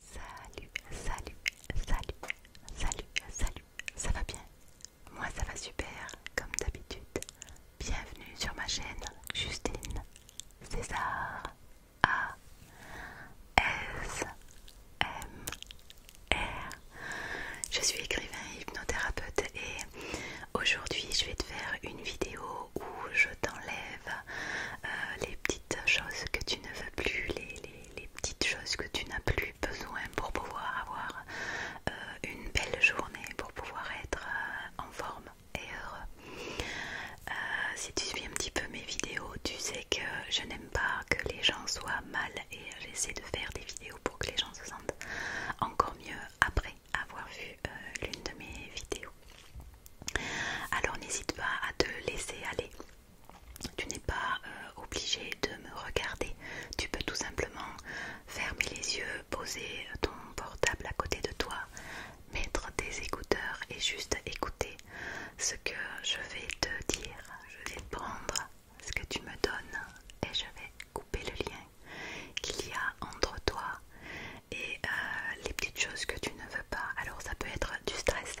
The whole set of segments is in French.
Salut, salut, salut, salut, salut, ça va bien Moi ça va super, comme d'habitude. Bienvenue sur ma chaîne Justine César A S M R. Je suis écrivain et hypnothérapeute et aujourd'hui je vais te faire une vidéo où je t'enlève euh, les petites choses que tu ne veux plus, les, petites choses que tu n'as plus besoin pour pouvoir avoir euh, une belle journée, pour pouvoir être euh, en forme et heureux. si tu suis un petit peu mes vidéos, tu sais que je n'aime pas que les gens soient mal et j'essaie de faire des vidéos pour que les gens se sentent encore mieux après avoir vu l'une de mes vidéos. Alors n'hésite pas à te laisser aller tu n'es pas euh, obligé de me regarder. Tu peux tout simplement fermer les yeux, poser ton portable à côté de toi, mettre des écouteurs et juste écouter ce que je vais te dire. Je vais prendre ce que tu me donnes et je vais couper le lien qu'il y a entre toi et euh, les petites choses que tu ne veux pas. Alors ça peut être du stress.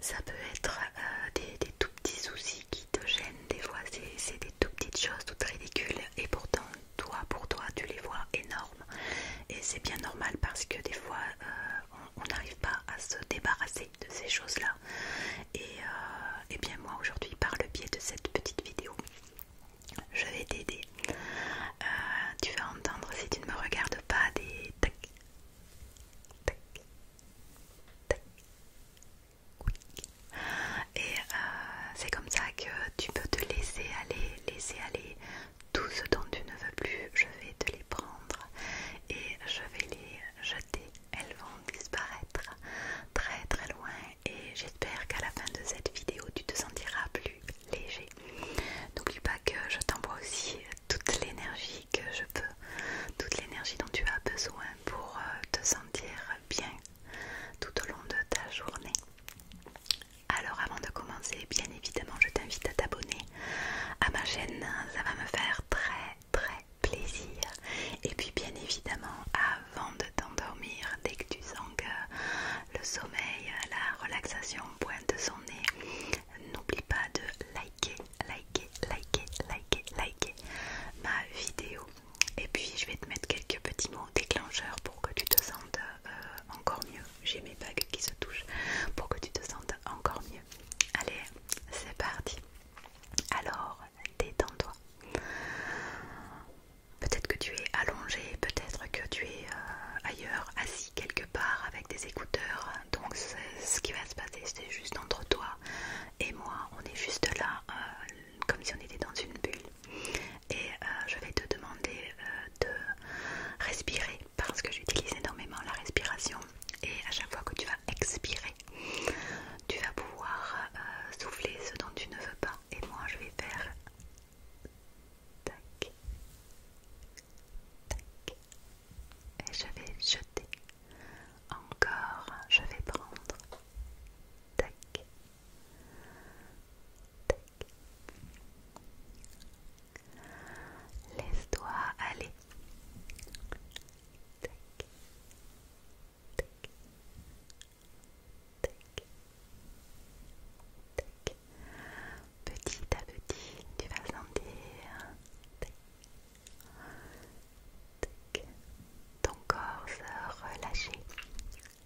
Ça peut être euh, des, tout petits soucis qui te gênent, des fois c'est des tout petites choses toutes ridicules et pourtant toi pour toi tu les vois énormes et c'est bien normal parce que des fois euh, on n'arrive pas à se débarrasser de ces choses là euh, et, bien moi aujourd'hui par le biais de cette petite vidéo je vais t'aider tu vas entendre si tu ne me regardes pas des tac et euh, c'est comme ça que tu peux te laisser aller, laisser aller tout ce dont tu ne veux plus. Je vais te les prendre et je vais les jeter. Elles vont disparaître très très loin et j'espère qu'à la fin de cette vidéo tu te sentiras plus léger. N'oublie pas que je t'envoie aussi toute l'énergie que je peux, toute l'énergie dont tu as besoin pour euh, te sentir bien tout au long de ta journée. Alors avant de commencer, bien évidemment, je t'invite à t'abonner à ma chaîne, ça va me faire très très plaisir. Et puis bien évidemment, avant de t'endormir, dès que tu sens que le sommeil, la relaxation pointe son nez, N'oublie pas de liker, liker, liker, liker, liker ma vidéo. Et puis je vais te mettre quelques petits mots déclencheurs pour que tu te sentes euh, encore mieux. J'ai mes bagues qui se touchent pour que tu te sentes encore mieux. Allez, c'est parti. Alors, détends-toi. Peut-être que tu es allongé, peut-être que tu es euh, ailleurs, assis quelque part avec des écouteurs donc ce qui va se passer c'est juste entre toi et moi on est juste là euh, comme si on était dans une bulle et euh, je vais te demander euh, de respirer parce que j'utilise énormément la respiration et à chaque fois que tu vas expirer tu vas pouvoir souffler ce dont tu ne veux pas et moi je vais faire tac et je vais jeter. Encore, je vais prendre. Tac. Tac. Laisse-toi aller. Tac. Tac. Tac. Tac petit à petit, tu vas sentir ton corps se relâcher,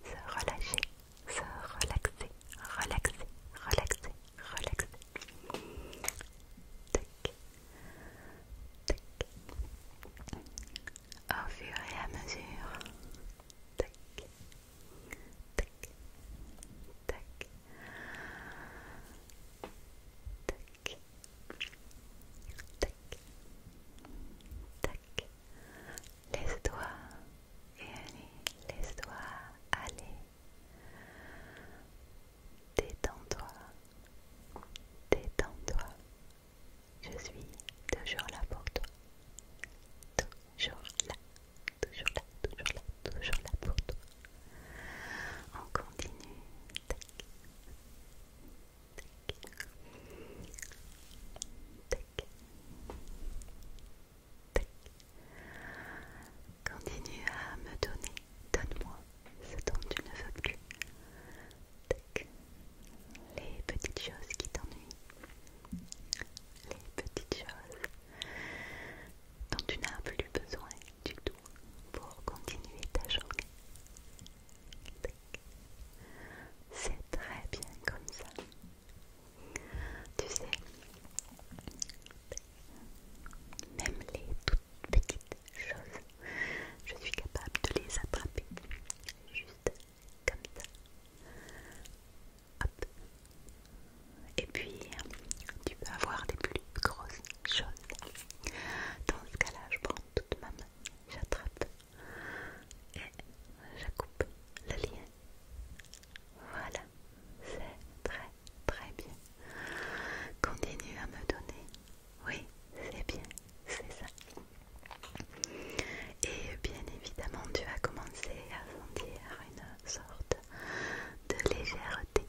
se relâcher, se relaxer, relaxer, relaxer, relaxer. Au fur et à mesure, tac, tac, tac, tac. Laisse-toi et allez, laisse-toi aller. Détends-toi, détends-toi. Je suis toujours là pour toi, toujours là toujours là, toujours là, toujours là pour toi. On continue. Tac. Continue à me donner, donne-moi ce dont tu ne veux plus. Tac. Les petites choses qui t'ennuient. Les petites choses dont tu n'as plus besoin du tout pour continuer ta journée. C'est très bien comme ça. Tu sais, même les toutes petites choses, je suis capable de les attraper juste comme ça. Et puis, tu peux avoir des plus grosses choses. Dans ce cas-là, je prends toute ma main, j'attrape et je coupe le lien. Voilà, c'est très très bien. Continue à me donner. Oui, c'est bien, c'est ça. Et bien évidemment, tu vas commencer à sentir une sorte de légèreté,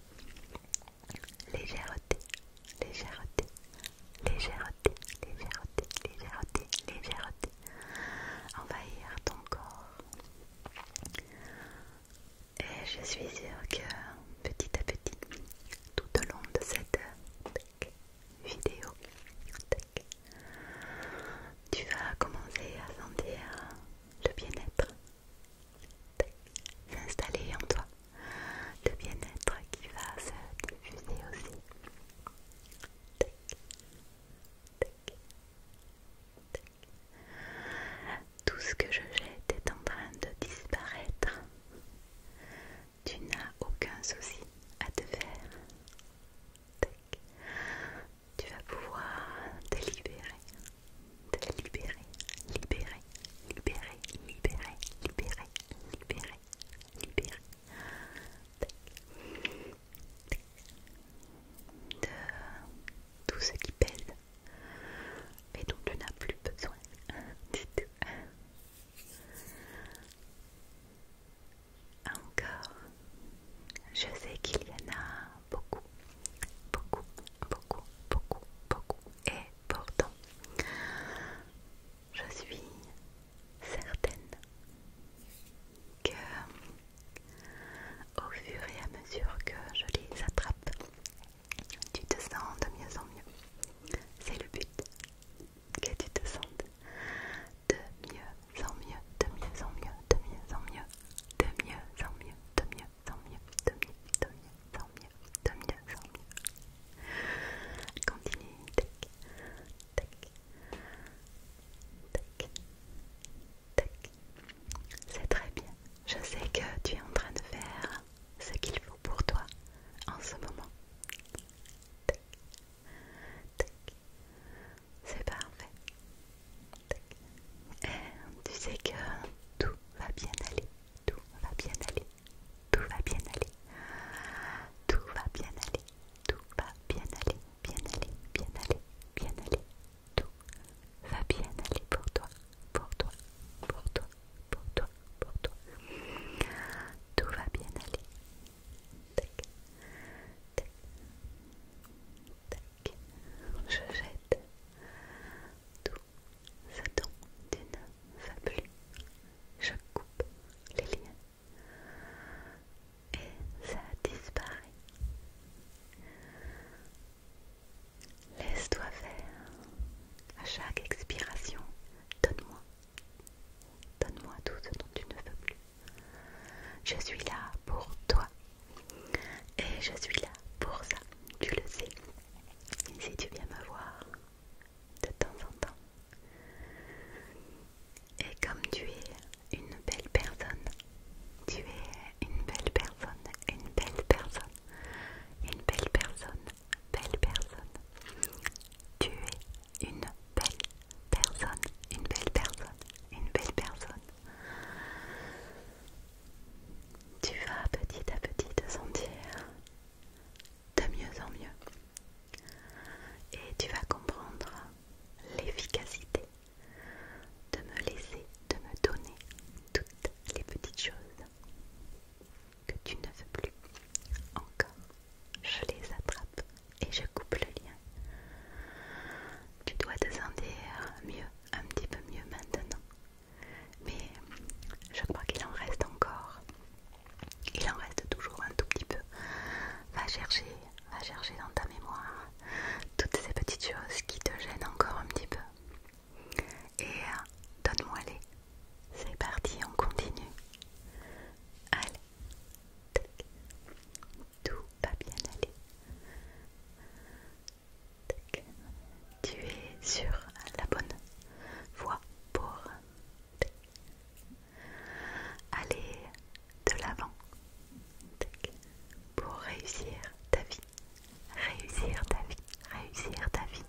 légèreté, légèreté, légèreté, légèreté, légèreté, légèreté, envahir ton corps. Et je suis sûre que petit à petit, tout au long de cette vidéo, tu vas commencer à sentir le bien-être s'installer en toi, le bien-être qui va se diffuser aussi. Tout ce que je jette est en train de disparaître. Tu n'as aucun souci à te faire tu vas pouvoir te libérer, te libérer, libérer, libérer, libérer, libérer, libérer, libérer. De tout ce qui pèse et dont tu n'as plus besoin du tout. Encore je sais qu'il y en a beaucoup, beaucoup, beaucoup, beaucoup, beaucoup. Et pourtant, je suis certaine que au fur et à mesure que je les attrape, tu te sens de mieux en mieux. C'est le but, que tu te sentes de mieux en mieux, de mieux en mieux, de mieux en mieux, de mieux en mieux, de mieux tant mieux, tant mieux, tant mieux, tant mieux, tant mieux, mieux. Continue, tac, tac, tac, C'est très bien. Je sais que tu es en train de faire ce qu'il faut pour toi en ce moment. Tac, c'est parfait. tu sais que tout va bien aller. Tout va bien aller. Tout va bien aller. Tout va bien aller. Tout va bien aller. Bien aller. Bien aller. Bien aller. Tout va bien aller pour toi. Pour toi. Pour toi. Pour toi. Pour toi. Tout va bien aller je jette tout ce dont tu ne veux plus. Je coupe les liens et ça disparaît. Laisse-toi faire. À chaque expiration, donne-moi. Donne-moi tout ce dont tu ne veux plus. Je suis là pour toi. Et je suis là pour ça, tu le sais. Si tu viens me voir de temps en temps. Et comme tu es une belle personne, tu es une belle personne, une belle personne, une belle personne, belle personne. Tu es une belle personne, une belle personne, une belle personne. Tu vas petit à petit te sentir de mieux en mieux. Et tu vas comprendre l'efficacité de me laisser, de me donner toutes les petites choses que tu ne veux plus. Encore, je les attrape et je coupe le lien. Tu dois te sentir mieux un petit peu mieux maintenant. Mais je crois qu'il en reste encore. Il en reste toujours un tout petit peu. Va chercher, va chercher dans ta mémoire toutes ces petites choses qui te gênent encore un petit peu. Et donne-moi les. C'est parti, on continue. Allez. Tout va bien aller. Tu es sur la bonne voie pour aller de l'avant pour réussir ta vie, réussir ta vie, réussir ta vie,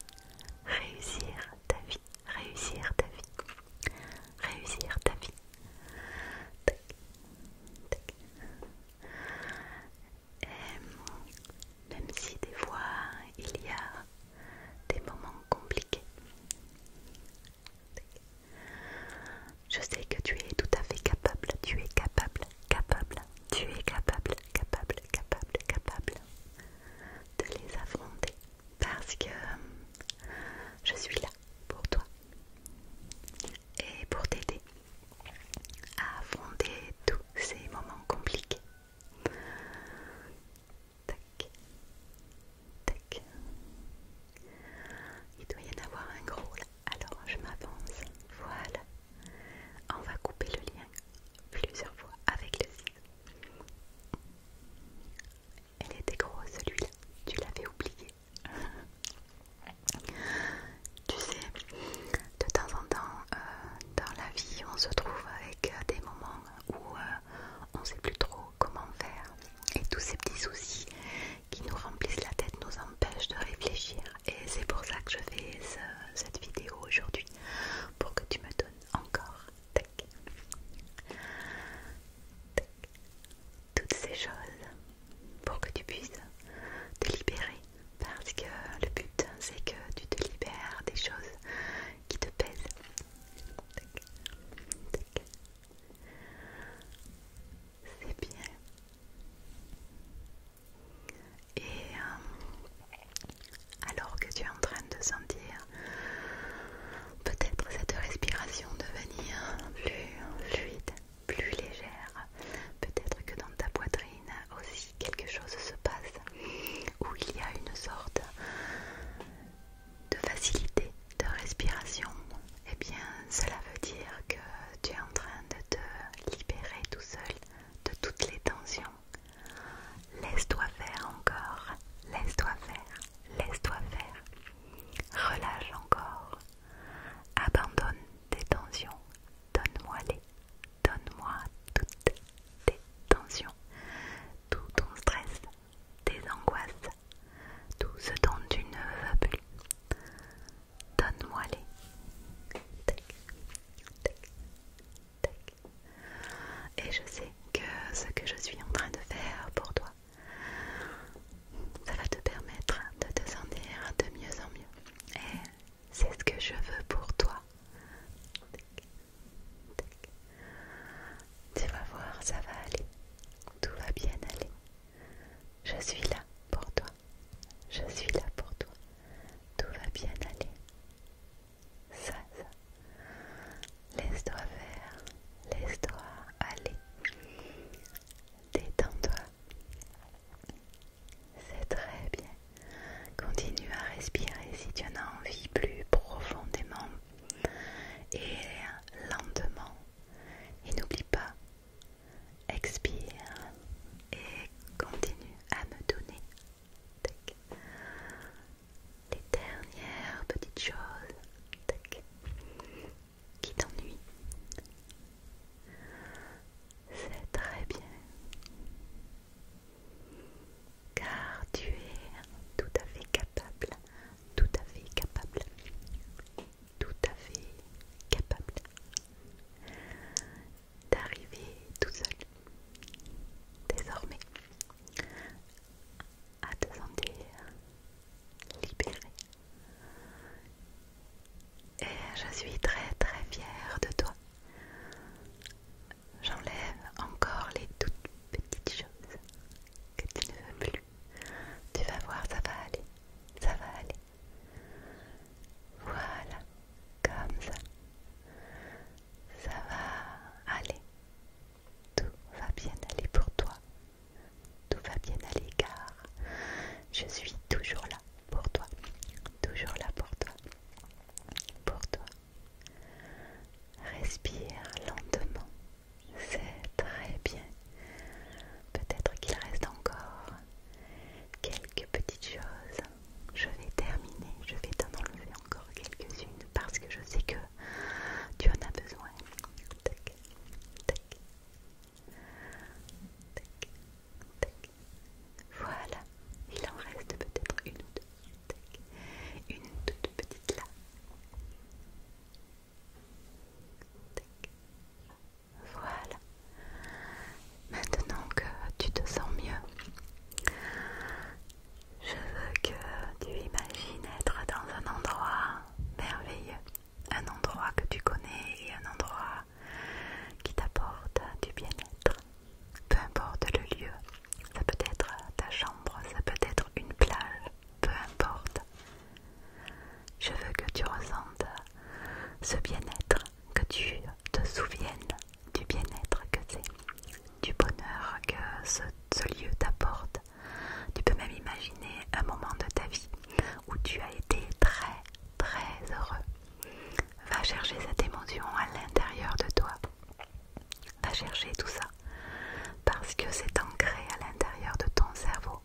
réussir ta vie, réussir ta vie, réussir ta vie. Euh, même si des fois il y a des moments compliqués. Je sais que tu es tout à fait capable, tu es capable, capable, tu es capable, capable, capable, capable de les affronter parce que je suis là pour toi et pour t'aider à affronter tous ces moments compliqués. Il doit y en avoir un gros là. Alors je m'avance. Voilà. On va couper le lien plusieurs fois avec le ciseau. Elle était grosse celui-là. Tu l'avais oublié tu sais, de temps en temps, euh, dans la vie, on se trouve avec euh, des moments où euh, on ne sait plus trop comment faire. Et tous ces petits soucis qui nous remplissent la tête nous empêchent de réfléchir. Et c'est pour ça que je fais cette vidéo aujourd'hui, pour que tu me donnes encore. tech toutes ces choses pour que tu puisses te libérer parce que le but c'est que tu te libères des choses qui te pèsent. C'est bien. Et euh, alors que tu es en train de sentir peut-être cette respiration devenir plus fluide, plus légère. Peut-être que dans ta poitrine aussi quelque chose se passe où il y a une sorte de facilité de respiration. Et eh bien, cela veut dire que tu es en train de te libérer tout seul de toutes les tensions. Laisse-toi faire encore, laisse-toi faire, laisse-toi faire. Relâche encore, abandonne tes tensions, donne-moi-les, donne-moi toutes tes tensions, tout ton stress, tes angoisses, tout ce dont tu ne veux plus. Donne-moi-les. Et je sais que ce que je suis en train de faire pour toi ça va te permettre de te sentir de mieux en mieux. Et c'est ce que je veux pour toi. Tu vas voir, ça va aller. Tout va bien aller. Je suis là pour toi. Je suis là pour toi. Tout va bien aller. Ça, ça. Laisse-toi faire. Laisse-toi aller. Détends-toi c'est très bien. Continue à respirer si tu en as envie plus profondément et lentement. Et n'oublie pas, expire et continue à me donner tac, les dernières petites choses qui t'ennuie. C'est très bien. Car tu es tout à fait capable, tout à fait capable, tout à fait capable d'arriver tout seul, désormais, à te sentir libéré, et je suis très très fière de toi. J'enlève encore les toutes petites choses que tu ne veux plus. Tu vas voir, ça va aller. Ça va aller. Voilà, comme ça. Ça va aller. Tout va bien aller pour toi tout va bien à l'égard je suis toujours là pour toi, toujours là pour toi, pour toi. Respire lentement, c'est très bien. Peut-être qu'il reste encore quelques petites choses. Je vais terminer, je vais t'en enlever encore quelques-unes parce que je sais que tu en as besoin. Tac, tac, voilà, il en reste peut-être une ou deux. Une toute petite là. Voilà. Maintenant que tu te sens mieux, je veux que tu imagines être dans un endroit merveilleux un endroit que tu connais et un endroit qui t'apporte du bien-être. Peu importe le lieu, ça peut être ta chambre, ça peut être une plage, peu importe. Je veux que tu ressentes ce bien-être, que tu te souviennes du bien-être que c'est, du bonheur que ce, ce lieu t'apporte. Tu peux même imaginer un moment de ta vie où tu as été très très heureux. Va chercher cette émotion à l'intérieur de toi. Va chercher tout ça. Parce que c'est ancré à l'intérieur de ton cerveau.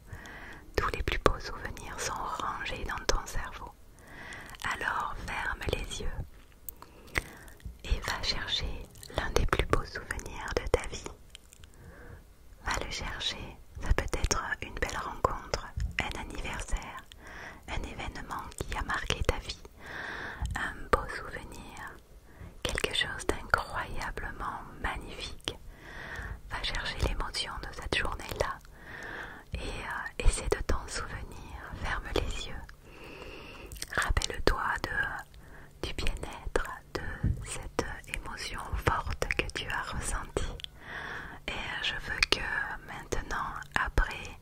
Tous les plus beaux souvenirs sont rangés dans ton cerveau. Alors ferme les yeux et va chercher l'un des plus beaux souvenirs de ta vie. Va le chercher, ça peut être une belle rencontre, un anniversaire, un événement qui a marqué ta vie, un beau souvenir, quelque chose d'incroyablement magnifique. Va chercher l'émotion de cette journée-là et euh, essaie de t'en souvenir, ferme les yeux. Rappelle-toi du bien-être, de cette émotion forte que tu as ressentie. Et euh, je veux que maintenant, après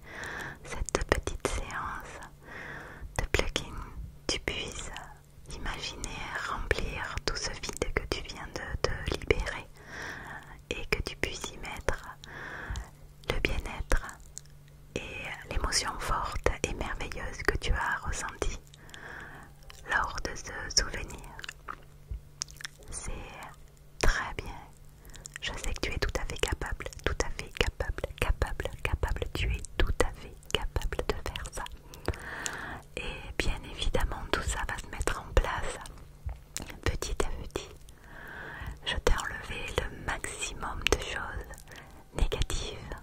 cette petite séance de plug-in, tu puisses imaginer remplir tout ce vide que tu viens de te libérer et que tu puisses y mettre le bien-être et l'émotion forte et merveilleuse que tu as ressentie lors de ce souvenir. C'est très bien. Je sais que tu es tout à fait capable, tout à fait capable, capable, capable. Tu es tout à fait capable de faire ça. Et bien évidemment, tout ça va se mettre en place petit à petit. Je t'ai enlevé le maximum de choses négatives.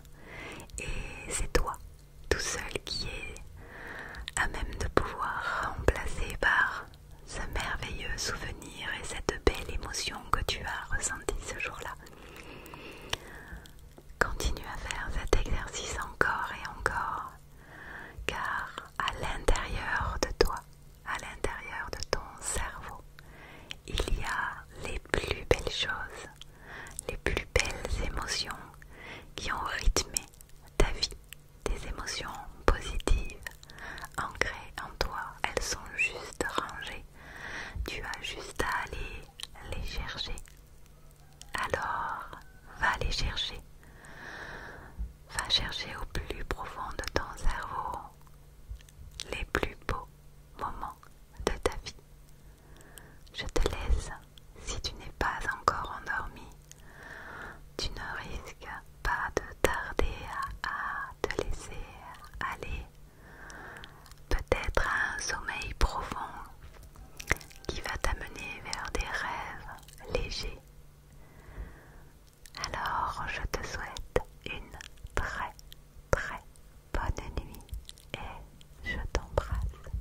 Et c'est toi tout seul qui est à même de pouvoir remplacer par ce merveilleux souvenir et cette belle émotion que tu as ressentie ce jour-là. Continue à faire cet exercice encore et encore, car à l'intérieur de toi, à l'intérieur de ton cerveau, il y a les plus belles choses, les plus belles émotions qui ont rythmé ta vie. Tes émotions positives, ancrées en toi, elles sont juste rangées. Tu as juste à aller les chercher. Alors, va les chercher. Va chercher au plus profond de ton cerveau les plus beaux moments de ta vie. Je te laisse, si tu n'es pas encore endormi, tu ne risques pas de tarder à, te laisser aller peut-être à un sommeil profond qui va t'amener vers des rêves légers. Alors je te souhaite une très très bonne nuit et je t'embrasse.